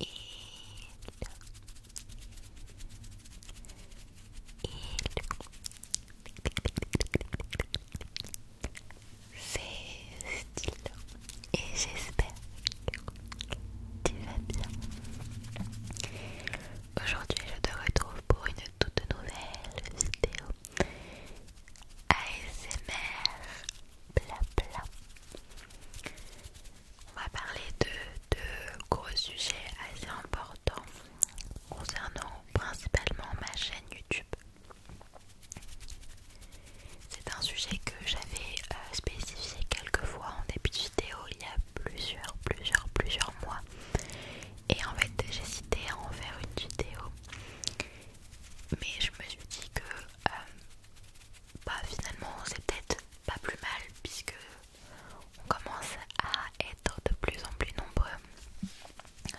Et stylé et j'espère que tu vas bien. Aujourd'hui je te retrouve pour une toute nouvelle vidéo ASMR bla bla. On va parler de deux gros sujets assez importants concernant principalement ma chaîne YouTube. C'est un sujet que j'avais euh, spécifié quelques fois en début de vidéo il y a plusieurs, plusieurs, plusieurs mois et en fait, j'hésitais à en faire une vidéo, mais je me suis dit que euh, bah, finalement, c'est peut-être pas plus mal puisque on commence à être de plus en plus nombreux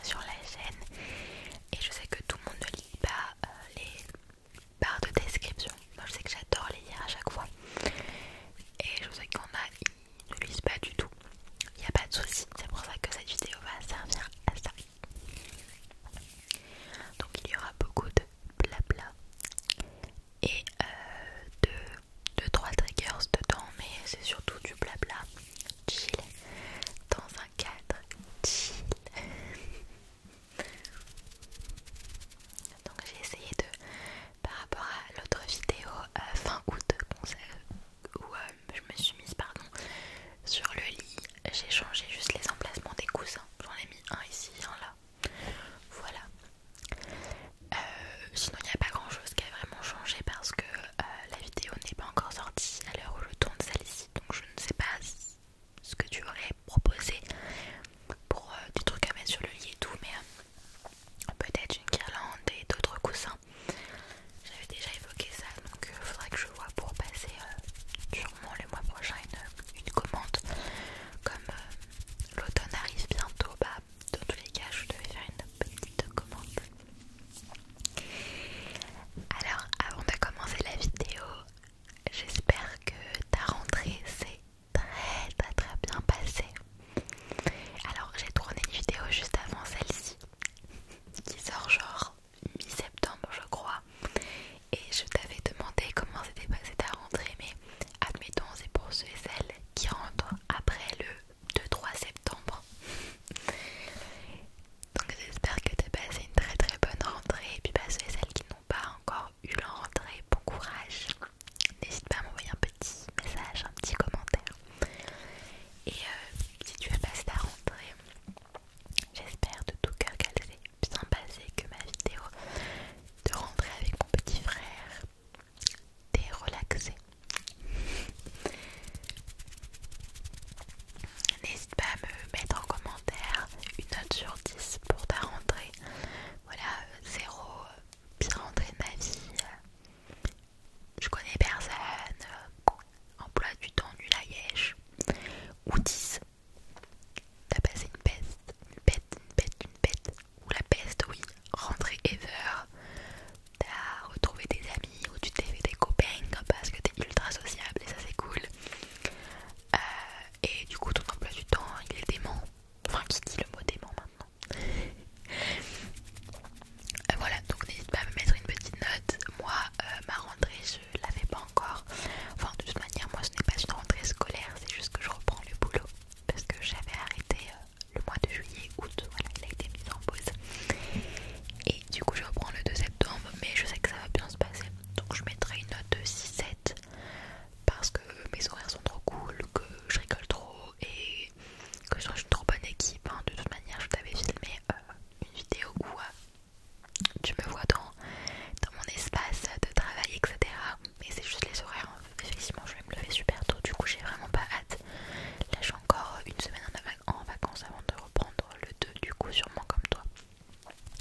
sur la chaîne. Et je sais que tout le monde ne lit pas euh, les barres de description. Moi, je sais que j'adore les lire à chaque fois. Et je sais qu'on a, qui ne lisent pas du tout il n'y a pas de souci, c'est pour ça que cette vidéo va servir à ça. Donc il y aura beaucoup de blabla et euh, de 2-3 triggers dedans, mais c'est surtout du blabla chill dans un cadre chill. Donc j'ai essayé de, par rapport à l'autre vidéo euh, fin fin conseil. Ou euh, je me suis mise pardon sur le lit j'ai changé juste les emplacements des coussins j'en ai mis un ici un là voilà euh, sinon il n'y a pas grand chose qui a vraiment changé parce que euh, la vidéo n'est pas encore sortie à l'heure où je tourne celle-ci donc je ne sais pas ce que tu aurais proposé pour des trucs à mettre sur le lit et tout mais peut-être une guirlande et d'autres coussins j'avais déjà évoqué ça, donc il euh, faudrait que je vois pour passer euh, sûrement les mois prochain une, commande. Comme euh, l'automne arrive bientôt, bah, dans tous les cas, je devais faire une petite commande. Alors, avant de commencer la vidéo, j'espère que ta rentrée s'est très très bien passée. Alors, j'ai tourné une vidéo juste avant celle-ci qui sort genre mi-septembre je crois et je t'avais demandé comment c'était passé ta rentrée mais admettons c'est pour ceux et celles qui rentrent après le 2-3 septembre donc j'espère que tu passé une très très bonne rentrée et puis bah, ceux et celles qui n'ont pas encore eu leur rentrée bon courage n'hésite pas à m'envoyer un petit message un petit commentaire et euh, si tu as passé ta rentrée J'espère de tout cœur qu'elle s'est bien passée, que ma vidéo de rentrée avec mon petit frère t'est relaxée. N'hésite pas à me mettre en commentaire une note sur 10 pour ta rentrée. Voilà, zéro, euh, bien rentrée de ma vie. Je connais personne emploi du temps du à ou 10, t'as passé une peste, une peste une peste une peste ou la peste, oui, rentrer ever, t'as retrouvé des amis, ou tu t'es fait des copains parce que t'es ultra sociable et ça c'est cool, euh, et du coup ton emploi du temps il est dément, enfin qui dit le mot dément maintenant euh, voilà, donc n'hésite pas à me mettre une petite note. Moi, euh, ma rentrée, je l'avais pas encore. Enfin, de toute manière, moi, ce n'est pas une rentrée scolaire, c'est juste que je reprends le boulot parce que j'avais arrêté euh, le mois de juillet, août. Voilà, il a été mis en pause. Et du coup, je reprends le 2 septembre, mais je sais que ça va bien se passer. Donc, je mettrai une note de 6-7 parce que mes horaires sont trop cool, que je rigole trop et que je suis une trop bonne équipe. De toute manière, je t'avais filmé une vidéo où euh, tu me vois dans, mon espace de travail, etc. Mais c'est juste les horaires. Hein. Effectivement, je vais me lever super tôt, du coup, j'ai vraiment pas hâte. Là, j'ai encore une semaine en vacances avant de reprendre le 2, du coup, sûrement comme toi.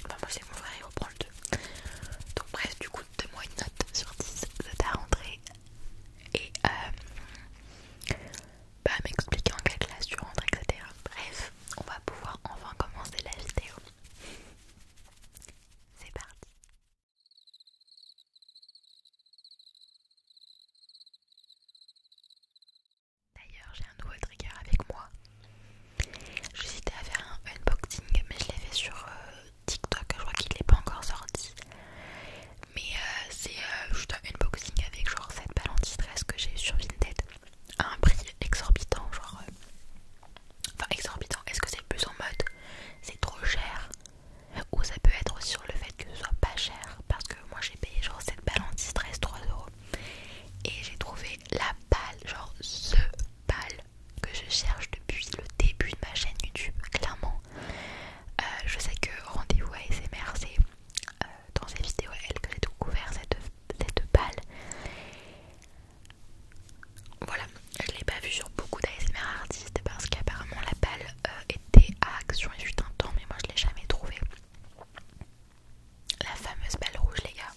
Enfin, moi, c'est mon frère, il reprend le 2. Donc, bref, du coup, donne-moi une note sur 10 ça ta rentrée. Et euh, pas m'expliquer en quelle classe tu rentres, etc. Bref, on va pouvoir enfin commencer la vidéo. C'est parti. D'ailleurs, j'ai un nouveau trigger avec moi. J'hésitais à faire un unboxing, mais je l'ai fait sur euh, TikTok. Je crois qu'il n'est pas encore sorti. Mais euh, c'est euh, juste un unboxing avec genre cette balle anti-stress que j'ai eu sur Vinted à un prix exorbitant, genre. Euh, enfin, exorbitant, est-ce que c'est plus en mode c'est trop cher ou ça peut être sur le fait que ce soit pas cher parce que moi j'ai payé genre cette balle anti-stress 3 euros et j'ai trouvé la balle, genre ce balle que je cherche depuis le début de ma chaîne YouTube, clairement. Euh, je sais que rendez-vous ASMR c'est euh, dans ces vidéos, elle que j'ai couvert cette, cette balle. Voilà, je l'ai pas vue sur beaucoup d'ASMR artistes parce qu'apparemment la balle euh, était à action et fut un temps, mais moi je l'ai jamais trouvée. La fameuse balle rouge, les gars.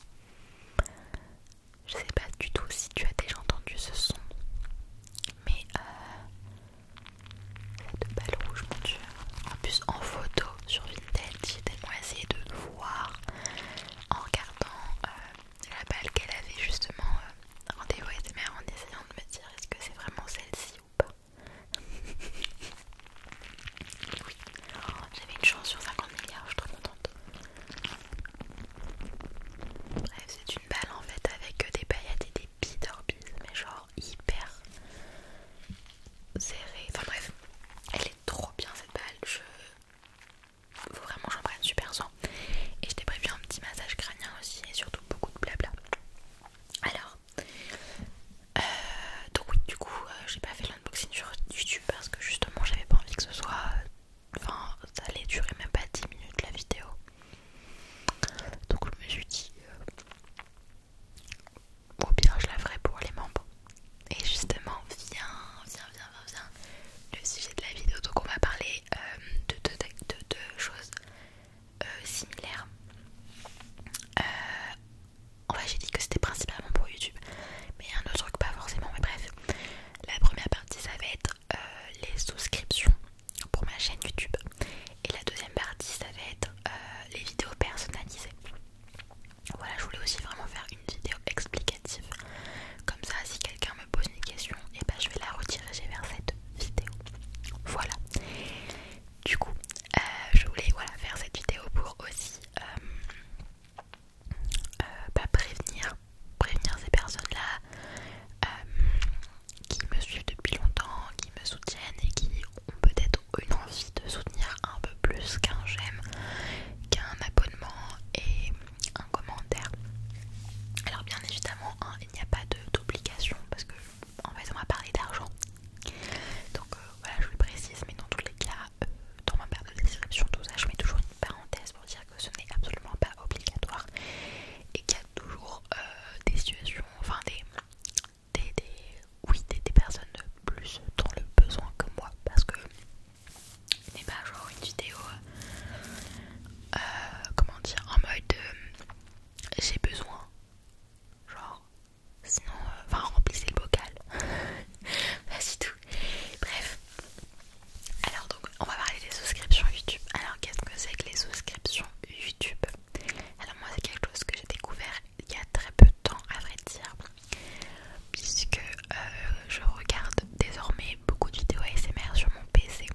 Je sais pas du tout si tu as déjà entendu ce son, mais euh, de balle rouge, mon dieu en plus en photo sur Vinted j'étais tellement de voir en regardant euh, la balle qu'elle avait justement euh, en rendez-vous mère en essayant de me dire est-ce que c'est vraiment celle-ci ou pas oui oh, j'avais une chance sur 50 milliards je suis très contente bref c'est une balle en fait avec euh, des paillettes et des bidorbies mais genre hyper Enfin bref, elle est trop bien cette balle. Je... Faut vraiment que j'en prenne super soin. Et je t'ai prévu un petit massage crânien aussi et surtout beaucoup de blabla. Alors, euh, donc du coup, euh, j'ai pas fait l'unboxing sur YouTube parce que justement j'avais pas envie que ce soit. Enfin, ça allait durer même pas 10 minutes la vidéo. Donc je me suis dit, euh, ou bien je la ferai pour les membres. Et justement, viens, viens, viens, viens, Le sujet de la vidéo, donc on va parler euh, de deux choses euh, similaires. Euh, enfin, j'ai dit que c'était principalement pour YouTube, mais il y a un autre truc, pas forcément, mais bref. La première partie, ça va être les souscriptions pour ma chaîne YouTube. Et la deuxième partie, ça va être euh, les vidéos personnalisées. Voilà, je voulais aussi vraiment faire une vidéo explicative. Comme ça, si quelqu'un me pose une question, et eh ben, je vais la rediriger vers cette vidéo. Voilà. Du coup, euh, je voulais voilà, faire cette vidéo pour aussi euh, euh bah, prévenir, prévenir ces personnes-là qui me suivent depuis longtemps, qui me soutiennent et qui peut-être une envie de soutenir un peu plus qu'un j'aime, qu'un abonnement et un commentaire. Alors bien évidemment, hein, il n'y a pas d'obligation parce que en fait on va parler d'argent. Donc euh, voilà, je le précise, mais dans tous les cas, euh, dans ma barre de description, tout ça, je mets toujours une parenthèse pour dire que ce n'est absolument pas obligatoire et qu'il y a toujours euh, des situations, enfin des, oui, des personnes plus dans le besoin que moi parce que n'est pas genre une vidéo euh, comment dire en mode euh, j'ai besoin genre sinon euh, enfin remplissez le bocal vas-y tout bref alors donc on va parler des souscriptions YouTube alors qu'est-ce que c'est que les souscriptions YouTube alors moi c'est quelque chose que j'ai découvert il y a très peu de temps à vrai dire puisque euh, je regarde désormais beaucoup de vidéos ASMR sur mon PC.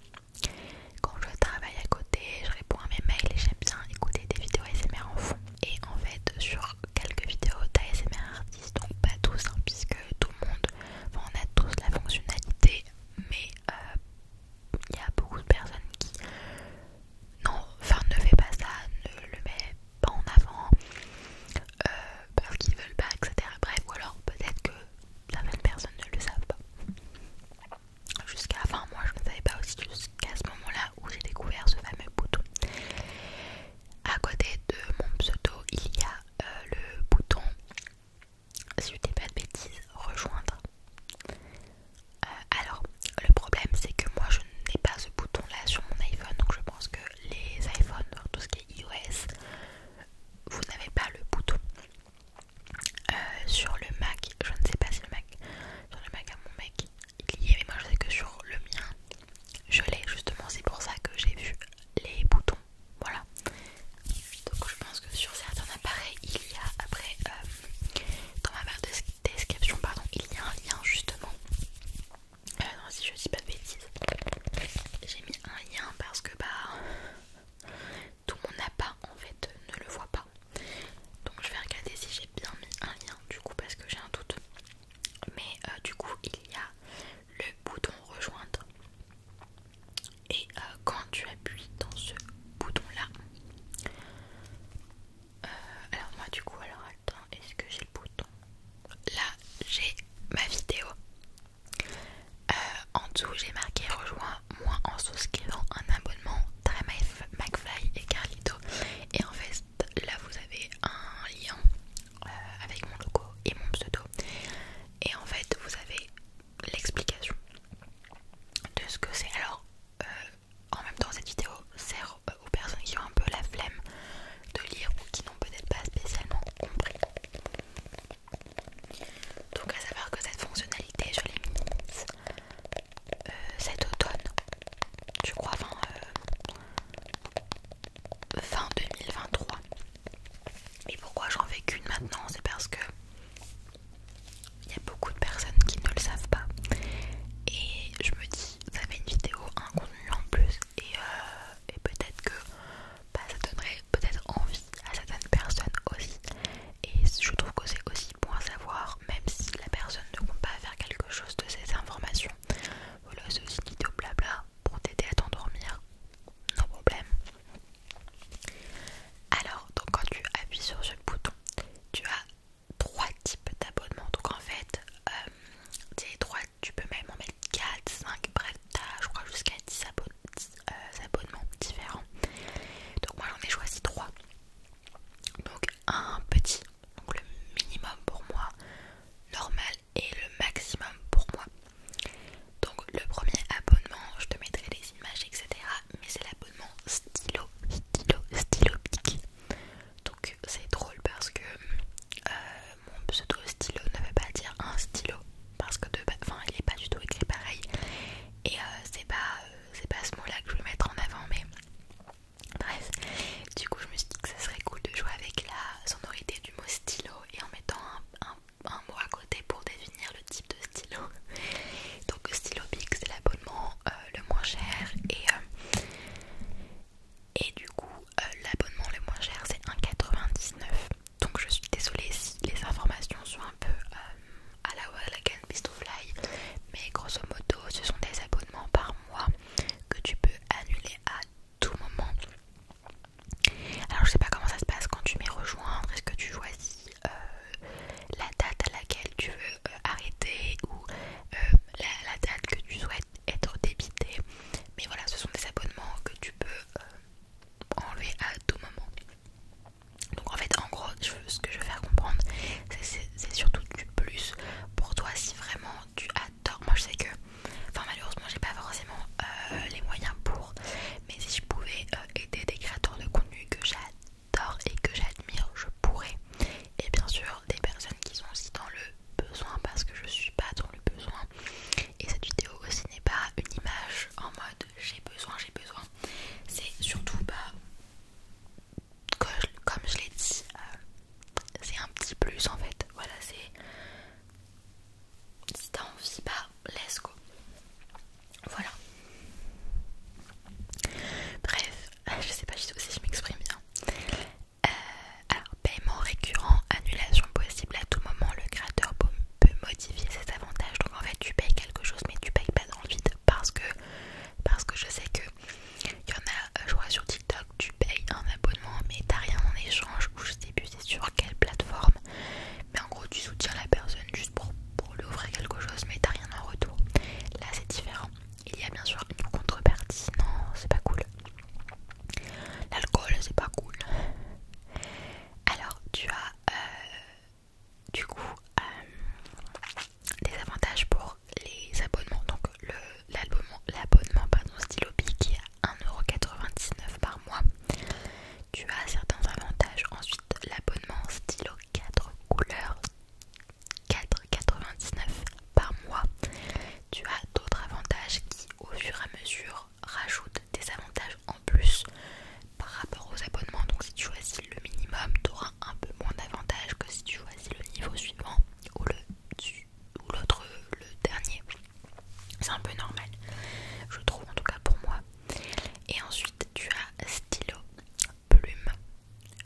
Quand je travaille à côté, je réponds à mes mails et j'aime bien écouter des vidéos ASMR en fond. Et en fait sur quelques vidéos d'ASMR artistes, donc pas tous hein, puisque tout le monde, on a tous la fonctionnalité mais euh, il y a beaucoup de personnes qui non, enfin ne fais pas ça, ne le mets pas en avant euh, parce qu'ils veulent pas, etc. Bref, ou alors peut-être que certaines personnes ne le savent pas. Jusqu'à, enfin moi je ne savais pas aussi jusqu'à ce moment-là où j'ai découvert ce fameux bouton. À côté de mon pseudo, il y a euh, le bouton, si tu dis pas de bêtises, rejoindre. Euh, alors, le problème c'est que moi je n'ai pas ce bouton là sur mon iPhone, donc je pense que les iPhones, tout ce qui est iOS, vous n'avez pas le bouton. Euh, sur le Mac, je ne sais pas si le Mac, sur le Mac à mon mec, il y est, mais moi je sais que sur le mien je l'ai justement, c'est pour ça que j'ai vu les boutons. Voilà, donc je pense que sur certains appareils il y a après euh, dans ma description, pardon, il y a un lien justement. Euh, si je dis pas de bêtises, j'ai mis un lien parce que bah tout mon pas en fait ne le voit pas. Donc je vais regarder si j'ai bien mis un lien du coup parce que j'ai un doute. Mais euh, du coup il y a le bouton rejoindre et euh, quand tu appuies dans ce bouton là euh, alors moi du coup alors attends est-ce que j'ai le bouton Là j'ai ma vidéo. Euh, en dessous j'ai marqué rejoins moi en souscrivant un abonnement Très McFly et Carlito. Et en fait là vous avez un lien euh, avec mon logo et mon pseudo. Et en fait vous avez l'explication de ce que c'est. Alors euh, en même temps cette vidéo sert euh, aux personnes qui ont un peu la flemme de lire ou qui n'ont peut-être pas spécialement compris. Donc à savoir que cette fonctionnalité je l'ai mise euh, cet automne, je crois fin, euh, fin 2023. Et pourquoi j'en fais qu'une maintenant C'est parce que il y a beaucoup de personnes qui ne le savent pas. Et je me dis vous avez une vidéo, un contenu en plus et, euh, peut-être que bah, ça donnerait peut-être envie à certaines personnes aussi et je trouve que c'est aussi bon à savoir même si la personne ne compte pas faire quelque chose de ces informations voilà c'est aussi une vidéo blabla pour t'aider à t'endormir non problème alors donc quand tu appuies sur ce bouton tu as trois types d'abonnements. Donc en fait, euh, tu peux même en mettre 4, 5, bref, t'as je crois jusqu'à 10, euh, abonnements différents. Donc moi j'en ai choisi trois. Donc un petit, donc le minimum pour moi, normal et le maximum pour moi. Donc le premier abonnement, je te mettrai les images, etc. Mais c'est l'abonnement stylo, stylo, stylo optique Donc c'est drôle parce que euh, mon pseudo stylo ne veut pas dire un stylo parce que de, enfin, il est pas du tout écrit pareil et euh, c'est pas, euh, pas ce mot là que je veux mettre en avant mais bref du coup je me suis dit que ça serait cool de jouer avec la sonorité du mot stylo et en mettant un, un mot à côté pour définir le type de stylo donc stylo big c'est l'abonnement euh, le moins cher et, euh, et du coup euh, l'abonnement le moins cher c'est 1,99 donc je suis désolée si les informations sont un peu à la Wallagan mais grosso modo ce sont des abonnements par mois que tu peux annuler à tout moment alors je sais pas comment ça se passe quand tu m'es rejoindre, est-ce que tu choisis la date à laquelle tu veux euh, arrêter ou euh, la, date que tu souhaites être débité. Mais voilà, ce sont des abonnements que tu peux euh, enlever à tout moment. Donc en fait, en gros, ce que je veux faire comprendre, c'est surtout du plus pour toi si vraiment tu adores. Moi, je sais que, enfin malheureusement, j'ai pas forcément les moyens pour, mais si je pouvais aider des créateurs de contenu que j'adore et que j'admire, je pourrais. Et bien sûr, des personnes qui sont aussi dans le besoin parce que je suis pas dans le besoin et cette vidéo aussi n'est pas une image en mode j'ai besoin j'ai besoin c'est surtout pas bah, comme je l'ai dit euh, c'est un petit plus en fait voilà c'est si t'as envie bah let's go voilà bref je sais pas si je m'exprime bien euh, alors, paiement récurrent, annulation possible à tout moment, le créateur peut modifier ses avantages. Donc en fait, tu payes quelque chose, mais tu payes pas dans le vide parce que, parce que je sais que il y en a, euh, je vois sur TikTok, tu payes un abonnement, mais t'as rien en échange, ou je sais plus c'est sur quelle plateforme. Mais en gros, tu soutiens la personne juste pour, pour lui offrir quelque chose, mais t'as rien en retour. Là, c'est différent il y a bien sûr une contrepartie. Non, c'est pas cool. L'alcool, c'est pas cool. Alors, tu as euh, du coup euh, des avantages pour les abonnements. Donc, l'abonnement Stylo qui est 1,99€ par mois. Tu as certains avantages. Ensuite, l'abonnement Stylo 4 couleurs 4,99 par mois. Tu as d'autres avantages qui, au fur et à mesure, rajoutent des avantages en plus par rapport aux abonnements. Donc, si tu choisis le minimum, tu auras un peu moins d'avantages que si tu choisis le niveau suivant ou le l'autre le dernier. C'est un peu normal, je trouve en tout cas pour moi. Et ensuite, tu as stylo, plume,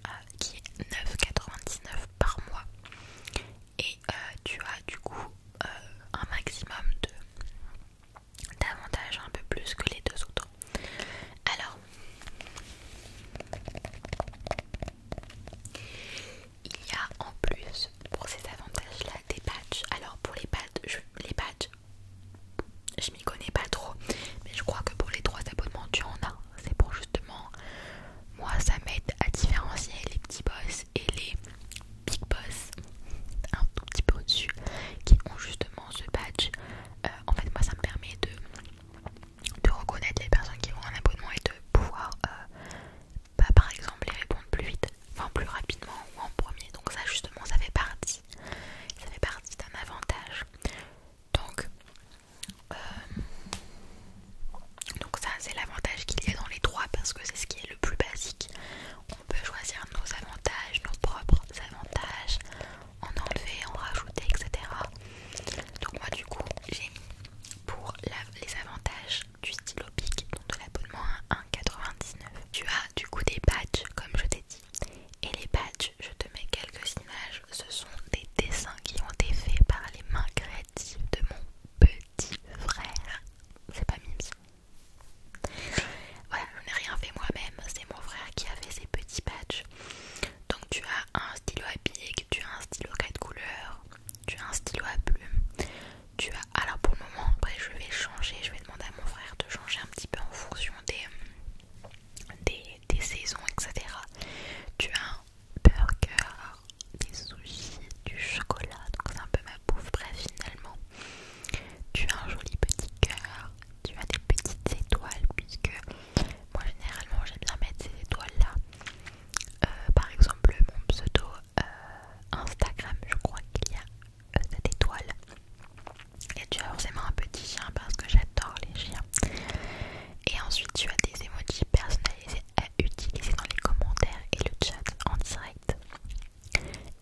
ah, qui est 9,99 par mois et euh, tu as du coup euh, un maximum d'avantages un peu plus que les deux autres. Alors il y a en plus pour ces avantages là des badges. Alors pour les badges, je, les badges, je m'y connais pas trop, mais je crois que pour les trois abonnements tu en as c'est pour justement, moi ça m'aide à différencier les petits boss et les big boss, un tout petit peu au-dessus, qui ont justement ce badge. Euh, en fait, moi ça me permet de, de reconnaître les personnes qui ont un abonnement et de pouvoir, euh, bah, par exemple, les répondre plus vite, enfin plus rapidement ou en premier. Donc ça justement, ça fait partie. Ça fait partie d'un avantage. Donc euh, donc ça c'est l'avantage qu'il y a dans les trois parce que c'est ce qui est le plus basique. On peut choisir nos avantages, nos propres avantages, en enlever, en rajouter, etc. Donc moi du coup j'ai pour les avantages du stylo pic, donc de l'abonnement à 1,99. Tu as du coup des badges comme je t'ai dit. Et les badges, je te mets quelques images ce sont des dessins qui ont été faits par les mains créatives de mon petit frère. C'est pas mimi Voilà, je n'ai rien fait moi-même, c'est mon frère qui a fait ces petits patchs. Donc tu as un stylo à pic, tu as un stylo quatre couleurs, tu as un stylo à plume, tu as... Alors pour le moment, après je vais changer, je vais demander à mon frère de changer un petit peu en fonction des, des, des saisons, etc. Tu as un burgers, des sushis, du chocolat, donc c'est un peu ma bouffe. Bref, finalement, tu as un joli petit cœur, tu as des petites étoiles, puisque moi généralement j'aime bien mettre ces étoiles là. Euh, par exemple, mon pseudo euh, Instagram, je crois qu'il y a euh, cette étoile. Et tu as forcément un petit chien parce que j'adore les chiens. Et ensuite, tu as des emojis personnalisés à utiliser dans les commentaires et le chat en direct.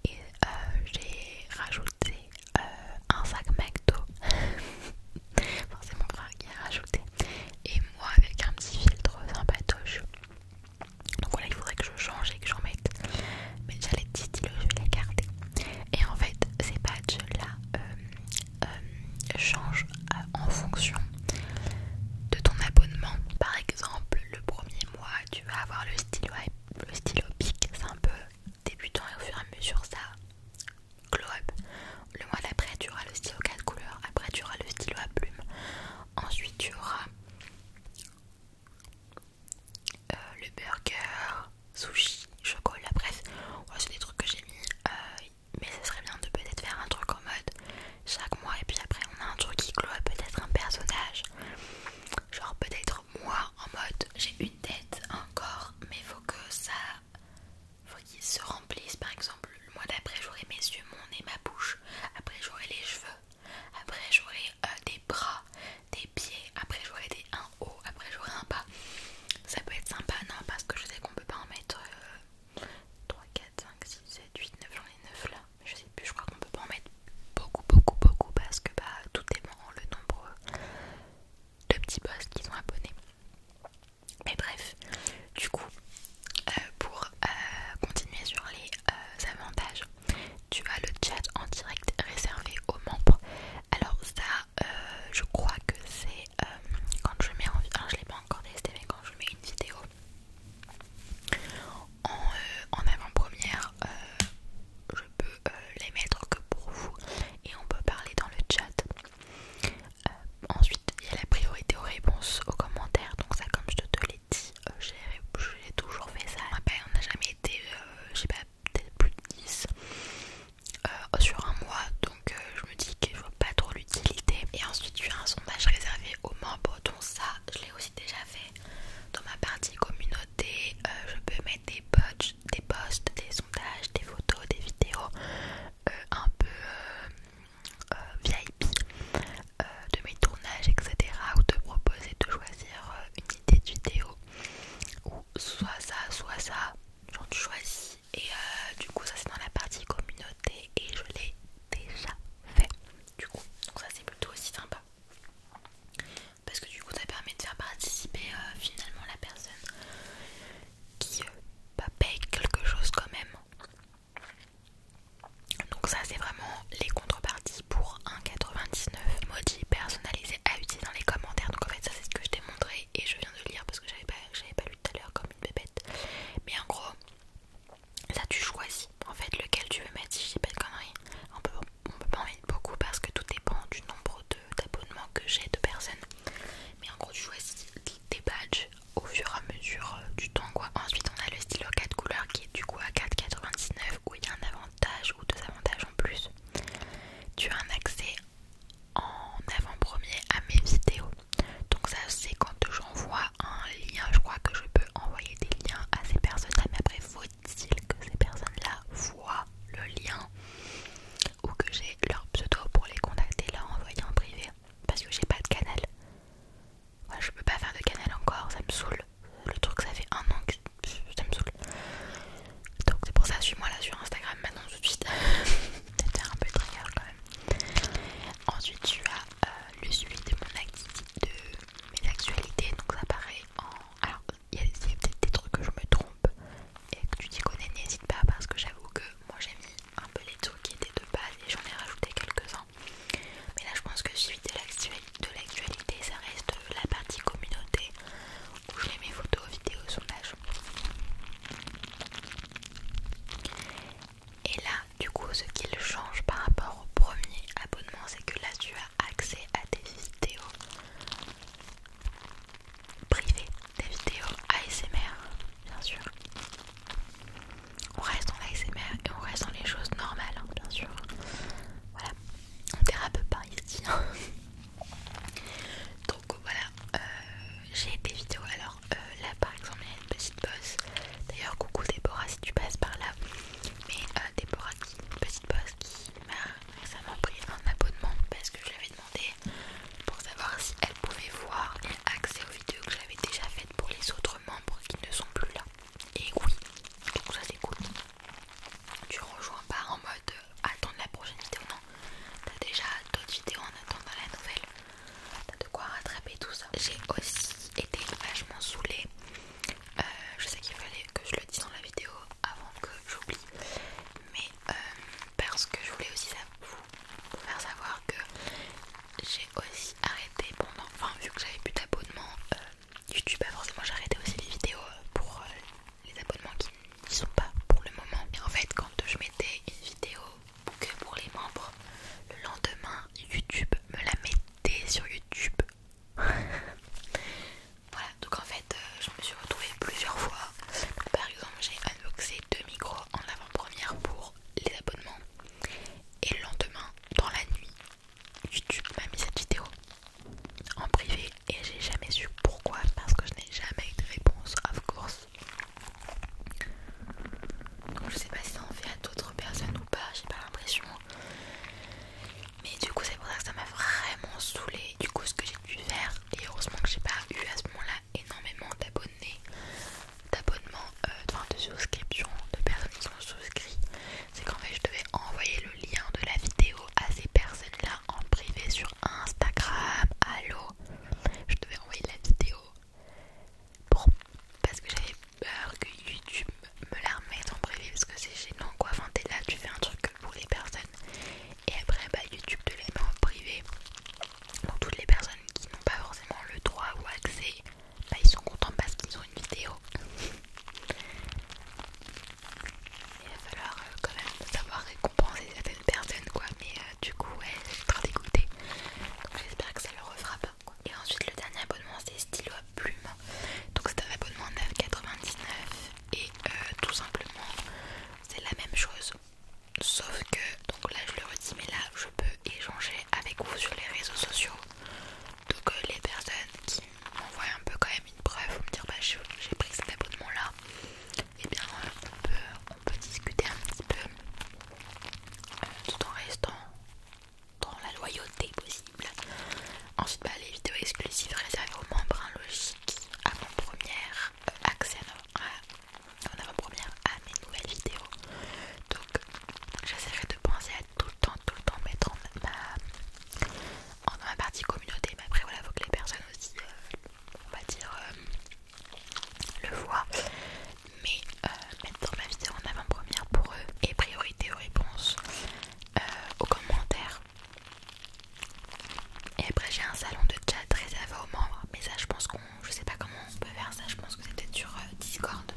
Et euh, j'ai rajouté euh, un sac McDo, forcément c'est mon frère qui a rajouté, et moi avec un petit filtre sympatoche. Donc voilà, il faudrait que je change et que j'en mette. Mais j'allais les je vais les garder. Et en fait, ces badges là, euh, euh, change en fonction de ton abonnement. Par exemple, le premier mois, tu vas avoir le stylo, le stylo pic, c'est un peu débutant et au fur et à mesure ça glow Le mois d'après, tu auras le stylo 4 couleurs, après tu auras le stylo à plume, ensuite tu auras euh, le burger, sushi, chocolat, bref, c'est des trucs que j'ai mis. Euh, mais ce serait bien de peut-être faire un truc en mode chaque mois et puis après on a un truc qui clôt peut-être un personnage. Genre peut-être moi en mode j'ai une tête, un corps, mais faut que ça faut qu'il se remplissent par exemple le mois d'après j'aurai mes yeux, mon nez, ma bouche, après j'aurai les cheveux, après j'aurai euh, des bras, des pieds, après j'aurai des un haut, après j'aurai un bas. Ça peut être sympa non parce que je sais qu'on peut pas en mettre euh, 3, 4, 5, 6, 7, 8, 9, j'en ai 9 là, je sais plus, je crois qu'on peut pas en mettre beaucoup, beaucoup, beaucoup parce que bah tout est bon, le nombre de petits boss qui sont abonnés. Mais bref, du coup, euh, pour euh, continuer sur les euh, avantages, tu as le chat en direct réservé aux membres. Alors ça, je crois que c'est euh, quand je mets en je l'ai pas encore testé mais quand je mets une vidéo en, euh, avant-première euh, je peux les mettre que pour vous et on peut parler dans le chat ensuite il y a la priorité aux réponses aux commentaires donc ça comme je te, l'ai dit j'ai toujours fait ça on n'a jamais été je sais pas peut-être plus de 10 sur un mois donc euh, je me dis que je vois pas trop l'utilité. Et ensuite, tu as un sondage réservé aux membres, dont ça, je l'ai aussi déjà fait dans ma partie communauté. Euh, je peux mettre des posts, des posts, des sondages, des photos, des vidéos euh, un peu VIP de mes tournages, etc. ou te proposer de choisir une idée de vidéo ou soit ça, soit ça. Genre, tu choisis, et du coup, ça c'est dans la partie communauté et je l'ai déjà fait du coup donc ça c'est plutôt aussi sympa parce que du coup ça permet de faire participer euh, finalement la personne qui euh, bah, paye quelque chose quand même donc ça c'est vraiment les contreparties pour 1,99 maudit personnalisé à utiliser dans les commentaires donc en fait ça c'est ce que je t'ai montré et je viens de lire parce que j'avais pas, pas lu tout à l'heure comme une bébête mais en gros, ça tu choisis en fait lequel tu veux mettre. Si j'ai pas de conneries, on peut, pas en mettre beaucoup parce que tout dépend du nombre d'abonnements que j'ai de personnes. Mais en gros, tu choisis tes badges au fur et à mesure euh, du temps quoi. Ensuite, on a le stylo 4 couleurs qui est du coup à 4,99 où il y a un avantage ou deux avantages en plus. Tu as un accès en avant première à mes vidéos donc ça c'est quand j'envoie un lien, je crois que je peux envoyer des liens à ces personnes mais après faut-il que ces personnes-là voient le lien ou que j'ai leur pseudo pour les contacter, leur envoyer en privé parce que j'ai pas de canal. je peux pas faire de canal encore, ça me saoule. Le truc ça fait un an que ça me saoule. Donc c'est pour ça, suis-moi là sur Instagram maintenant tout de suite. peut un peu de euh, ensuite, tu as euh, le suivi de, mon de mes actualités. Donc, ça paraît en. Alors, il y a, peut-être des trucs que je me trompe et que tu t'y connais, n'hésite pas parce que j'avoue que moi j'ai mis un peu les trucs qui étaient de base et j'en ai rajouté quelques-uns. Mais là, je pense que suivi de l'actualité, ça reste la partie communauté où je mets mes photos, vidéos, sondages. Et là, du coup, ce qu'il change par rapport au premier abonnement, c'est que là, tu as accès à des vidéos privées, des vidéos ASMR, bien sûr. On reste dans l'ASMR et on reste dans les choses normales, hein, bien sûr. Voilà, on dérape pas ici. Hein. Donc voilà, euh, j'ai des vidéos. Alors, euh, là par exemple il y a une petite bosse d'ailleurs coucou Déborah si tu passes par là mais euh, Déborah une petite bosse qui m'a récemment pris un abonnement parce que je l'avais demandé pour savoir si elle pouvait voir et accès aux vidéos que j'avais déjà faites pour les autres membres qui ne sont plus là et oui donc ça c'est cool tu rejoins pas en mode euh, attendre la prochaine vidéo non t'as déjà d'autres vidéos en attendant la nouvelle t'as de quoi rattraper tout ça. J'ai aussi été vachement saoulée. Euh, je sais qu'il fallait que je le dise dans la vidéo avant que j'oublie, mais euh, parce que je voulais aussi vous faire savoir que j'ai aussi arrêté pendant, enfin, vu que j'avais plus d'abonnements, euh, YouTube, bah, forcément j'ai arrêté aussi les vidéos pour les abonnements qui n'y sont pas pour le moment. Et en fait, quand je mettais une vidéo que pour les membres. Le lendemain, YouTube me la mettait sur YouTube. voilà, donc en fait, euh, je me suis retrouvée plusieurs fois. Par exemple, j'ai unboxé deux micros en avant-première pour les abonnements. Et le lendemain, dans la nuit, YouTube m'a mis cette vidéo en privé et j'ai jamais su pourquoi parce que je n'ai jamais eu de réponse, of course. Donc je sais pas si ça en fait à d'autres personnes ou pas, j'ai pas l'impression. Mais du coup c'est pour ça que ça m'a vraiment saoulé. Du coup ce que j'ai pu faire, et heureusement que j'ai pas eu à ce moment-là énormément d'abonnés, d'abonnements, euh, enfin de souscription, de personnes qui sont souscrites, c'est qu'en fait je devais envoyer le lien de la vidéo à ces personnes-là en privé sur Instagram. Allô, je devais envoyer la vidéo parce que j'avais peur que YouTube me la remette en privé parce que c'est gênant quoi. Enfin, t'es là, tu fais un truc pour les personnes et après, bah, YouTube te la met en privé. Donc, toutes les personnes qui n'ont pas forcément le droit ou accès, bah, ils sont contents parce qu'ils ont une vidéo. Il va falloir euh, quand même savoir récompenser certaines personnes quoi mais euh, du coup elle est trop dégoûtée. Donc j'espère que ça le refera pas. Et ensuite le dernier abonnement c'est stylo à plume. Donc c'est un abonnement 9,99 et euh, tout simplement c'est la même chose. Sauf que, donc là je le redis, mais là je peux échanger avec vous sur les réseaux sociaux. Donc euh, les personnes qui m'envoient un peu quand même une preuve, Ou me dire bah j'ai pris cet abonnement là, et eh bien on, peut, on peut discuter un petit peu euh, tout en restant dans la loyauté possible. Ensuite, bah, les vidéos exclusives réservées aux membres hein, logiques avant-première, euh, accès à, première à mes nouvelles vidéos. Donc, j'essaierai de penser à tout le temps, tout le temps mettre en ma, ma partie communauté. Mais après, voilà, faut que les personnes aussi, euh, on va dire, le voit mais euh, mettre mettre ma vidéo en avant-première pour eux et priorité aux réponses, euh, aux commentaires. Et après j'ai un salon de chat réservé aux membres, mais ça je pense qu'on, je sais pas comment on peut faire ça, je pense que c'est peut-être sur euh, Discord.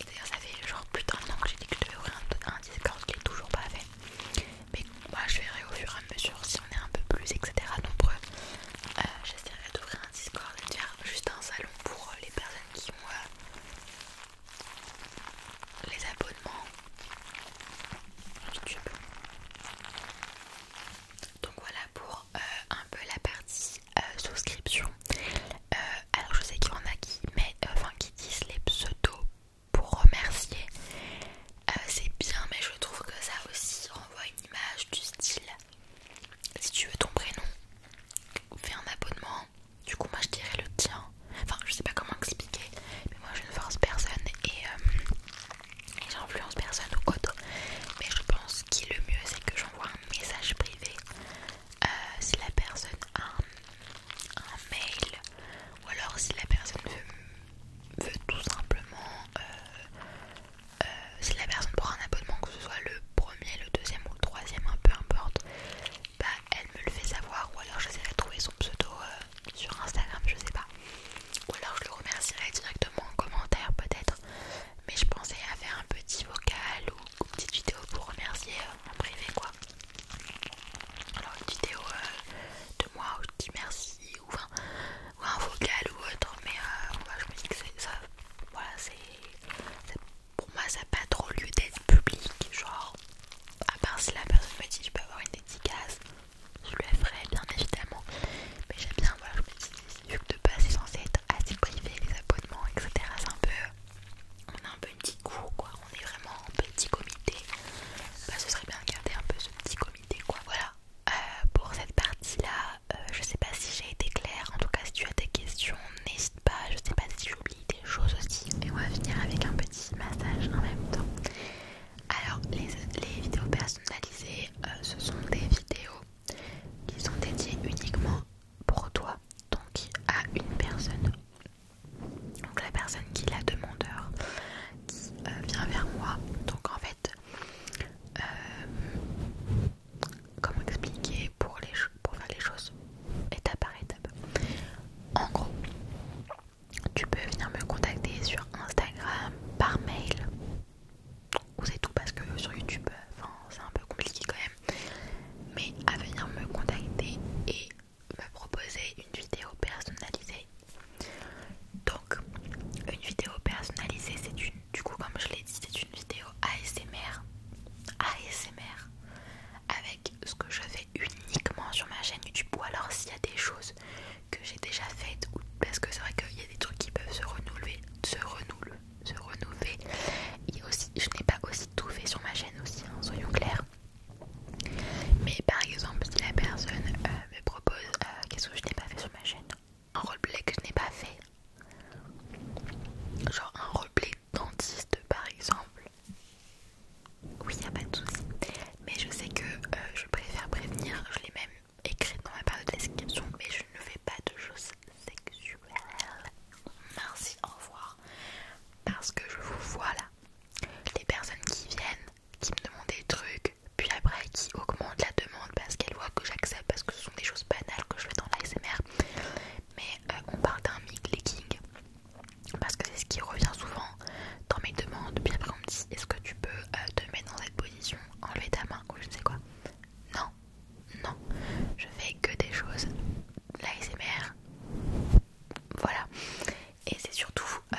Et d'ailleurs ça fait genre plus d'un an que j'ai dit que je devais ouvrir un, Discord qui est toujours pas fait. Mais moi je verrai au fur et à mesure si on est un peu plus etc nombreux. J'essaierai d'ouvrir un Discord juste un salon pour euh, les personnes qui ont les abonnements YouTube. Donc voilà pour euh, un peu la partie euh, souscription. alors je sais qu'il y en a qui enfin qui disent les pseudos pour remercier. C'est bien, mais je trouve que ça aussi renvoie une image du style si tu veux ton prénom, fais un abonnement. Du coup, moi je dirais le tien. Enfin, je sais pas comment expliquer, mais moi je ne force personne et, euh, j'influence personne ou autre. Mais je pense qu'il le mieux c'est que j'envoie un message privé. Euh, si la personne a un, mail ou alors si la personne veut, tout simplement euh, euh, si la personne prend un abonnement, que ce soit le premier, le deuxième ou le troisième, un peu importe, bah elle me le fait savoir ou alors je de trouver son pseudo euh, sur Instagram, je sais pas. Ou alors je le remercierai directement en commentaire peut-être. Mais je pensais à faire un petit vocal ou une petite vidéo pour remercier euh, en privé quoi. Alors une vidéo de moi où je dis merci ou un, ou un vocal ou autre, mais je me dis que ça, voilà, c'est pour moi, ça n'a pas trop lieu d'être public. Genre, à part si la personne me dit tu peux avoir une dédicace, je le ferai bien évidemment. Mais j'aime bien, voilà, je me vu que de base c'est censé être assez privé, les abonnements, etc. C'est un peu. On a un peu une petite cour quoi, on est vraiment un petit comité. Bah, ce serait bien de garder un peu ce petit comité quoi. Voilà, euh, pour cette partie là, je euh, je sais pas si j'ai été claire, en tout cas si tu as des questions, n'hésite pas, je sais pas si j'oublie des choses aussi. Et on va finir avec un petit massage en même temps. Alors les, vidéos personnalisées, euh, ce sont des vidéos qui sont dédiées uniquement pour toi, donc à une personne. Donc la personne qui la demandeur qui euh, vient vers moi. Donc en fait, comment expliquer pour, les, pour faire les choses étape par étape. En gros, tu peux venir me contacter sur Instagram, par mail, ou c'est tout parce que sur YouTube, c'est un peu compliqué quand même. Mais à venir me contacter et me proposer une vidéo personnalisée. Donc, une vidéo personnalisée, c'est une du coup, comme je l'ai dit, c'est une vidéo ASMR. ASMR avec ce que je fais uniquement sur ma chaîne YouTube ou alors s'il y a des choses que j'ai déjà faites ou parce que c'est vrai qu'il y a des trucs qui peuvent se renouveler, se renouveler, se renouveler. Et aussi, je n'ai pas aussi tout fait sur ma chaîne aussi, hein, soyons clairs. Mais par exemple, si la personne euh, me propose euh, qu'est-ce que je n'ai pas fait sur ma chaîne, un roleplay que je n'ai pas fait. Genre un roleplay dentiste par exemple. Oui, y a pas de souci. Mais je sais que euh, je préfère prévenir, je l'ai même écrit dans ma période de description, mais je ne fais pas de choses sexuelles. Merci, au revoir. Parce que je vous vois là. Les personnes qui viennent, qui me demandent des trucs, puis après qui augmentent la demande parce qu'elles voient que j'accepte parce que ce sont des choses banales que je fais dans l'ASMR mais euh, on parle d'un mic leaking parce que c'est ce qui revient souvent dans mes demandes bien après on me dit est-ce que tu peux euh, te mettre dans cette position enlever ta main ou je ne sais quoi non non je fais que des choses l'ASMR voilà et c'est surtout euh,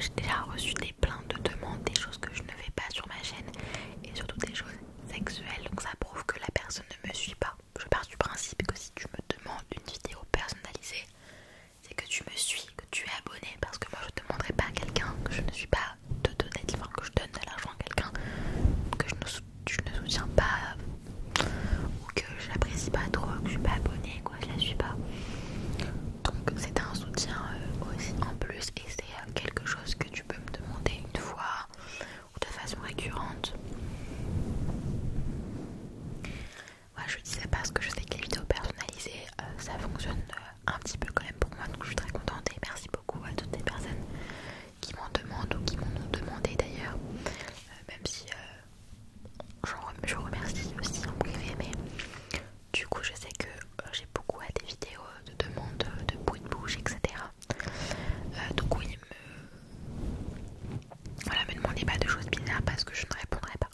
j'ai déjà reçu des plaintes de demandes des choses que je ne fais pas sur ma chaîne et surtout des choses sexuelle, donc ça prouve que la personne ne me suit pas. Je pars du principe que si tu me demandes une vidéo personnalisée, c'est que tu me suis, que tu es abonné, parce que moi je ne demanderai pas à quelqu'un que je ne suis pas de donner, l'argent que je donne de l'argent à quelqu'un que je ne, soutiens pas ou que je n'apprécie pas trop, que je suis pas abonné, quoi, je la suis pas. Donc c'est un soutien euh, aussi en plus et c'est euh, quelque chose tu peux me demander une fois ou de façon récurrente. Moi je dis ça parce que je sais que les vidéos personnalisées euh, ça fonctionne euh, un petit peu quand même pour moi donc je suis très contente et merci beaucoup à toutes les personnes qui m'en demandent ou qui m'ont demandé d'ailleurs euh, même si je remercie aussi en privé mais du coup je sais que euh, j'ai beaucoup à des vidéos de demande de bruit de bouche, etc. Euh, donc oui, me... voilà, me demandez pas de choses bizarres parce que je ne répondrai pas.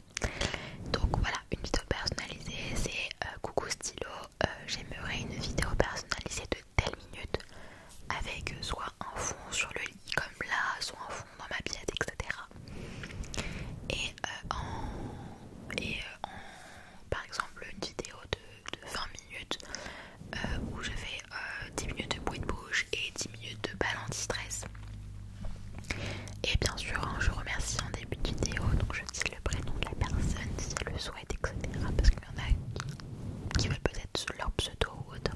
Donc voilà, une vidéo personnalisée, c'est euh, coucou stylo, j'aimerais une vidéo personnalisée de telle minute avec soit un fond sur le lit comme là, soit un fond dans ma billette, etc. Et, en... Et en... par exemple une vidéo de de 20 minutes euh, où je fais 10 euh, minutes de bruit de bouche et 10 minutes de balle anti-stress. Et bien sûr, hein, je remercie en début de vidéo, donc je dis le prénom de la personne si elle le souhaite, etc. Parce qu'il y en a qui, veulent peut-être leur pseudo ou autre.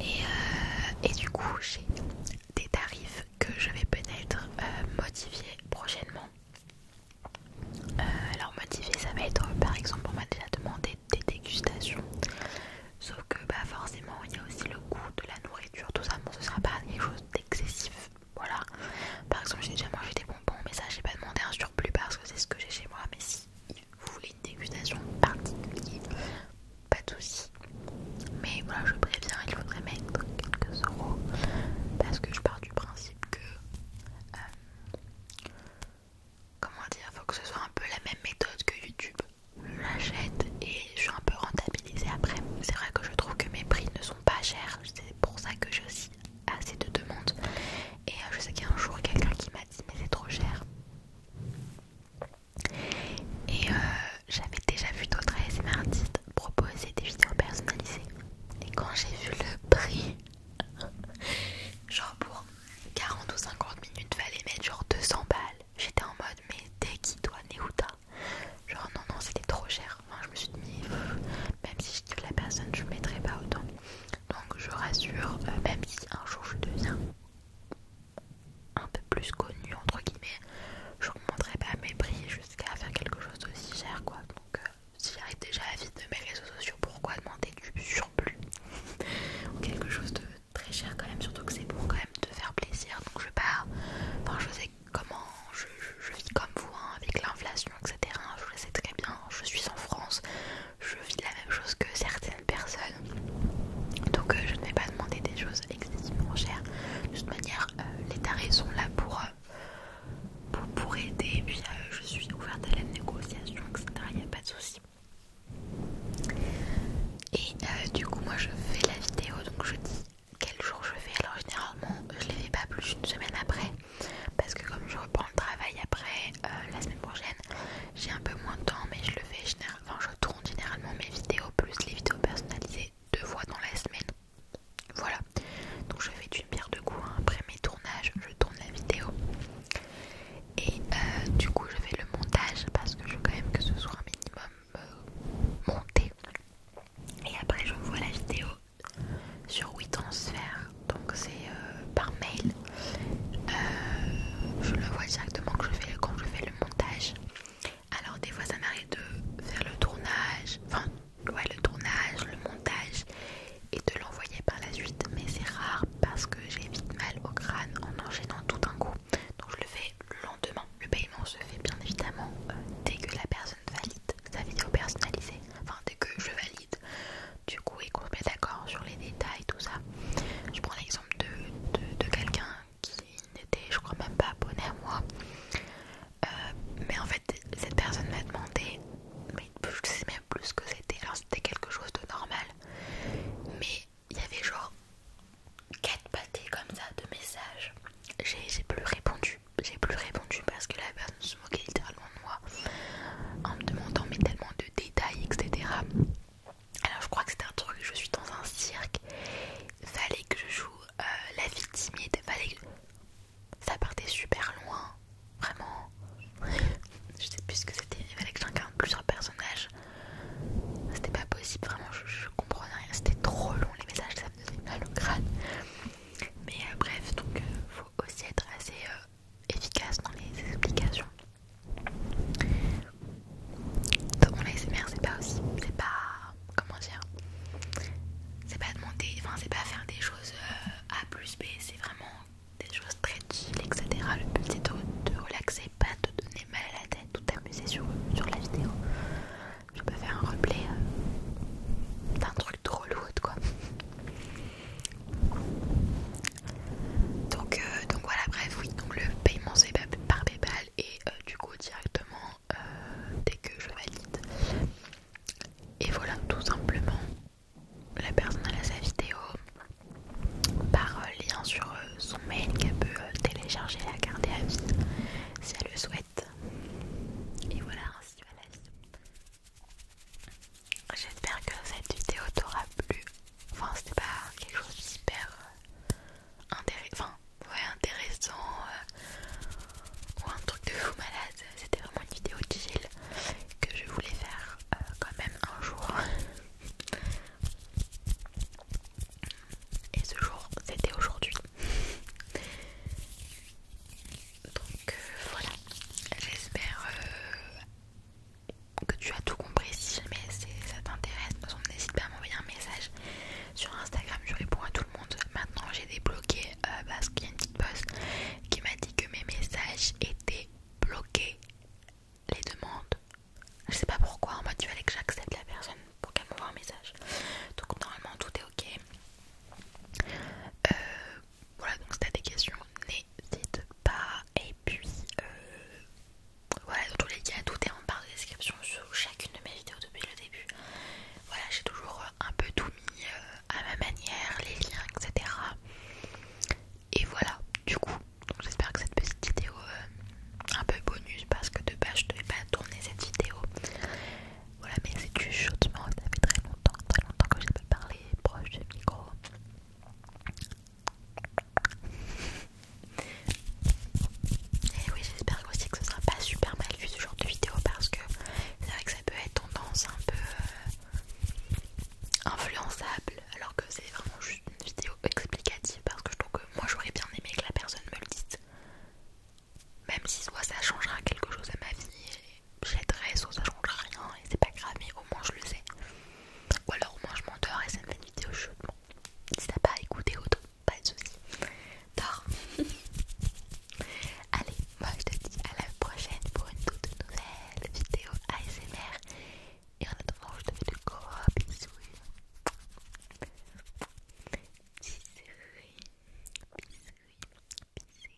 Euh, et, du coup, j'ai des tarifs que je vais peut-être modifier prochainement. Euh, alors motivé ça va être euh, par exemple on m'a déjà demandé des dégustations sauf que bah forcément il y a aussi le goût de la nourriture tout ça bon ce sera pas quelque chose d'excessif voilà par exemple j'ai déjà mangé des bonbons mais ça j'ai pas demandé un surplus parce que c'est ce que j'ai chez moi mais si vous voulez une dégustation particulière pas de soucis mais voilà je préviens il faudrait mettre quelques euros parce que je pars du principe que euh, comment dire, faut que ce soit un peu la même méthode que YouTube. J'achète et je suis un peu rentabilisée après. C'est vrai que je trouve que mes prix ne sont pas chers, c'est pour ça que j'ai aussi assez de demandes. Et euh, je sais qu'il y a un jour quelqu'un qui m'a dit mais c'est trop cher. Et euh, j'avais déjà vu d'autres c'est artistes proposer des vidéos personnalisées. Et quand j'ai vu le prix, genre pour 40 ou 50 minutes, fallait mettre genre 200 balles. J'étais en mode, mais dès qui doit Nehuta Genre, non, non, c'était trop cher. Enfin, je me suis dit, même si je tue la personne, je ne mettrai pas autant. Donc, je rassure, euh, même si un jour je deviens un peu plus connue, entre guillemets, je ne pas mes prix jusqu'à faire quelque chose d'aussi cher, quoi. Donc, euh, si j'arrive déjà à vite de mes réseaux sociaux, pourquoi demander du surplus Quelque chose de très cher quand même, surtout que c'est pour quand même te faire plaisir. Donc je pars, enfin je sais comment, je, vis comme vous, hein, avec l'inflation, etc. Hein, je le sais très bien, je suis en France, je vis la même chose que certaines personnes. Donc euh, je ne vais pas demander des choses excessivement chères. De toute manière, euh, les tarés sont là pour... Euh, pour, aider. puis euh, je suis ouverte à la négociation, etc. Il n'y a pas de souci. Et euh, du coup, moi je fais la vidéo, donc je dis quel jour je fais. Alors généralement, euh, je ne les fais pas plus une semaine après, parce que comme je reprends le travail après la semaine prochaine, j'ai un peu moins de temps, mais je le fais généralement. je tourne généralement mes vidéos plus les vidéos personnalisées deux fois dans la semaine. Voilà, donc je fais d'une bière de coups hein. après mes tournages, je tourne la vidéo et euh, du coup je fais le montage parce que je veux quand même que ce soit un minimum euh, monté et après je vois la vidéo sur WeTransfer, donc c'est euh, par mail. je le vois directement quand je fais le montage. Alors des fois ça m'arrête de faire le tournage, enfin le tournage, le montage et de l'envoyer par la suite. Mais c'est rare parce que j'ai vite mal au crâne en enchaînant tout d'un coup. Donc je le fais lentement Le paiement se fait bien évidemment euh, dès que la personne valide sa vidéo personnalisée. Enfin dès que je valide du coup et qu'on se met d'accord sur les détails, et tout ça. Je prends l'exemple de, de quelqu'un qui n'était je crois même pas abonné à moi euh, mais en fait, cette personne m'a demandé, mais je sais même plus ce que c'était. Alors, c'était quelque chose de normal, mais il y avait genre quatre pâtés comme ça de messages. J'ai plus répondu, j'ai plus répondu parce que la personne se moquait littéralement de moi en me demandant, mais tellement de détails, etc. Alors, je crois que c'était un truc, je suis dans un cirque, fallait que je joue euh, la victime, fallait que ça partait super loin, vraiment. je sais plus ce que c'était, il fallait que j'incarne plusieurs personnages. C'était pas possible, vraiment, je, comprenais rien. C'était trop long les messages, ça me faisait mal au crâne. Mais euh, bref, donc euh, faut aussi être assez euh, efficace dans les explications. Donc les c'est pas aussi, c'est pas comment dire, c'est pas demander, enfin c'est pas faire des choses. A plus B, c'est vraiment des choses très chill, etc. Le but c'est de te relaxer, pas de donner mal à la tête ou t'amuser sur, la vidéo. Je peux faire un replay euh, d'un truc trop lourd quoi. Donc, euh, donc voilà, bref, oui, donc le paiement c'est par PayPal et euh, du coup directement dès que je valide et voilà, tout simplement, la personne a sa vidéo par euh, lien sur euh, son mail qu'elle peut euh, télécharger et la carte à vie si elle le souhaite. Et voilà, ainsi va la vidéo. J'espère que cette vidéo t'aura plu. Enfin, c'était pas quelque chose d'hyper intéressant, enfin, ouais, intéressant ou un truc de fou malade. C'était vraiment une vidéo de chill que je voulais faire euh, quand même un jour. Et ce jour, c'était aujourd'hui. Donc euh, voilà, j'espère euh, que tu as tout compris. Si jamais ça t'intéresse, n'hésite pas à m'envoyer un message sur Instagram. Je réponds à tout le monde. Maintenant, j'ai débloqué euh, parce bah, y a qui m'a dit que mes messages étaient bloqués, les demandes. Je sais pas pourquoi, en mode il fallait que j'accepte la personne pour qu'elle m'envoie un message. Donc normalement tout est ok. Euh, voilà, donc si t'as des questions, n'hésite pas. Et puis euh, voilà, dans tous les cas, tout est en barre de description sous chacune de mes vidéos depuis le début. Voilà, j'ai toujours un peu tout mis. Euh, à ma manière, les liens, etc. Et voilà, du coup, j'espère que cette petite vidéo euh, un peu bonus parce que de base je ne devais pas tourner cette vidéo. Voilà, mais c'est du chaudement, ça fait très longtemps, très longtemps que j'ai pas parlé proche du micro. Et oui, j'espère aussi que ce sera pas super mal vu ce genre de vidéo parce que c'est vrai que ça peut être tendance un peu euh, influençable alors que c'est vraiment juste une vidéo explicative parce que je trouve que moi j'aurais bien aimé que la personne me le dise même si soit ça changera quelque chose à ma vie j'adresse soit ça changera rien et c'est pas grave mais au moins je le sais ou alors au moins je m'endors et ça me fait une vidéo chaude bon, si t'as pas écouté autant pas de soucis tard Allez, moi je te dis à la prochaine pour une toute nouvelle vidéo ASMR. Et en attendant, je te fais de gros bisous. Bisous, bisous, bisous, bisous.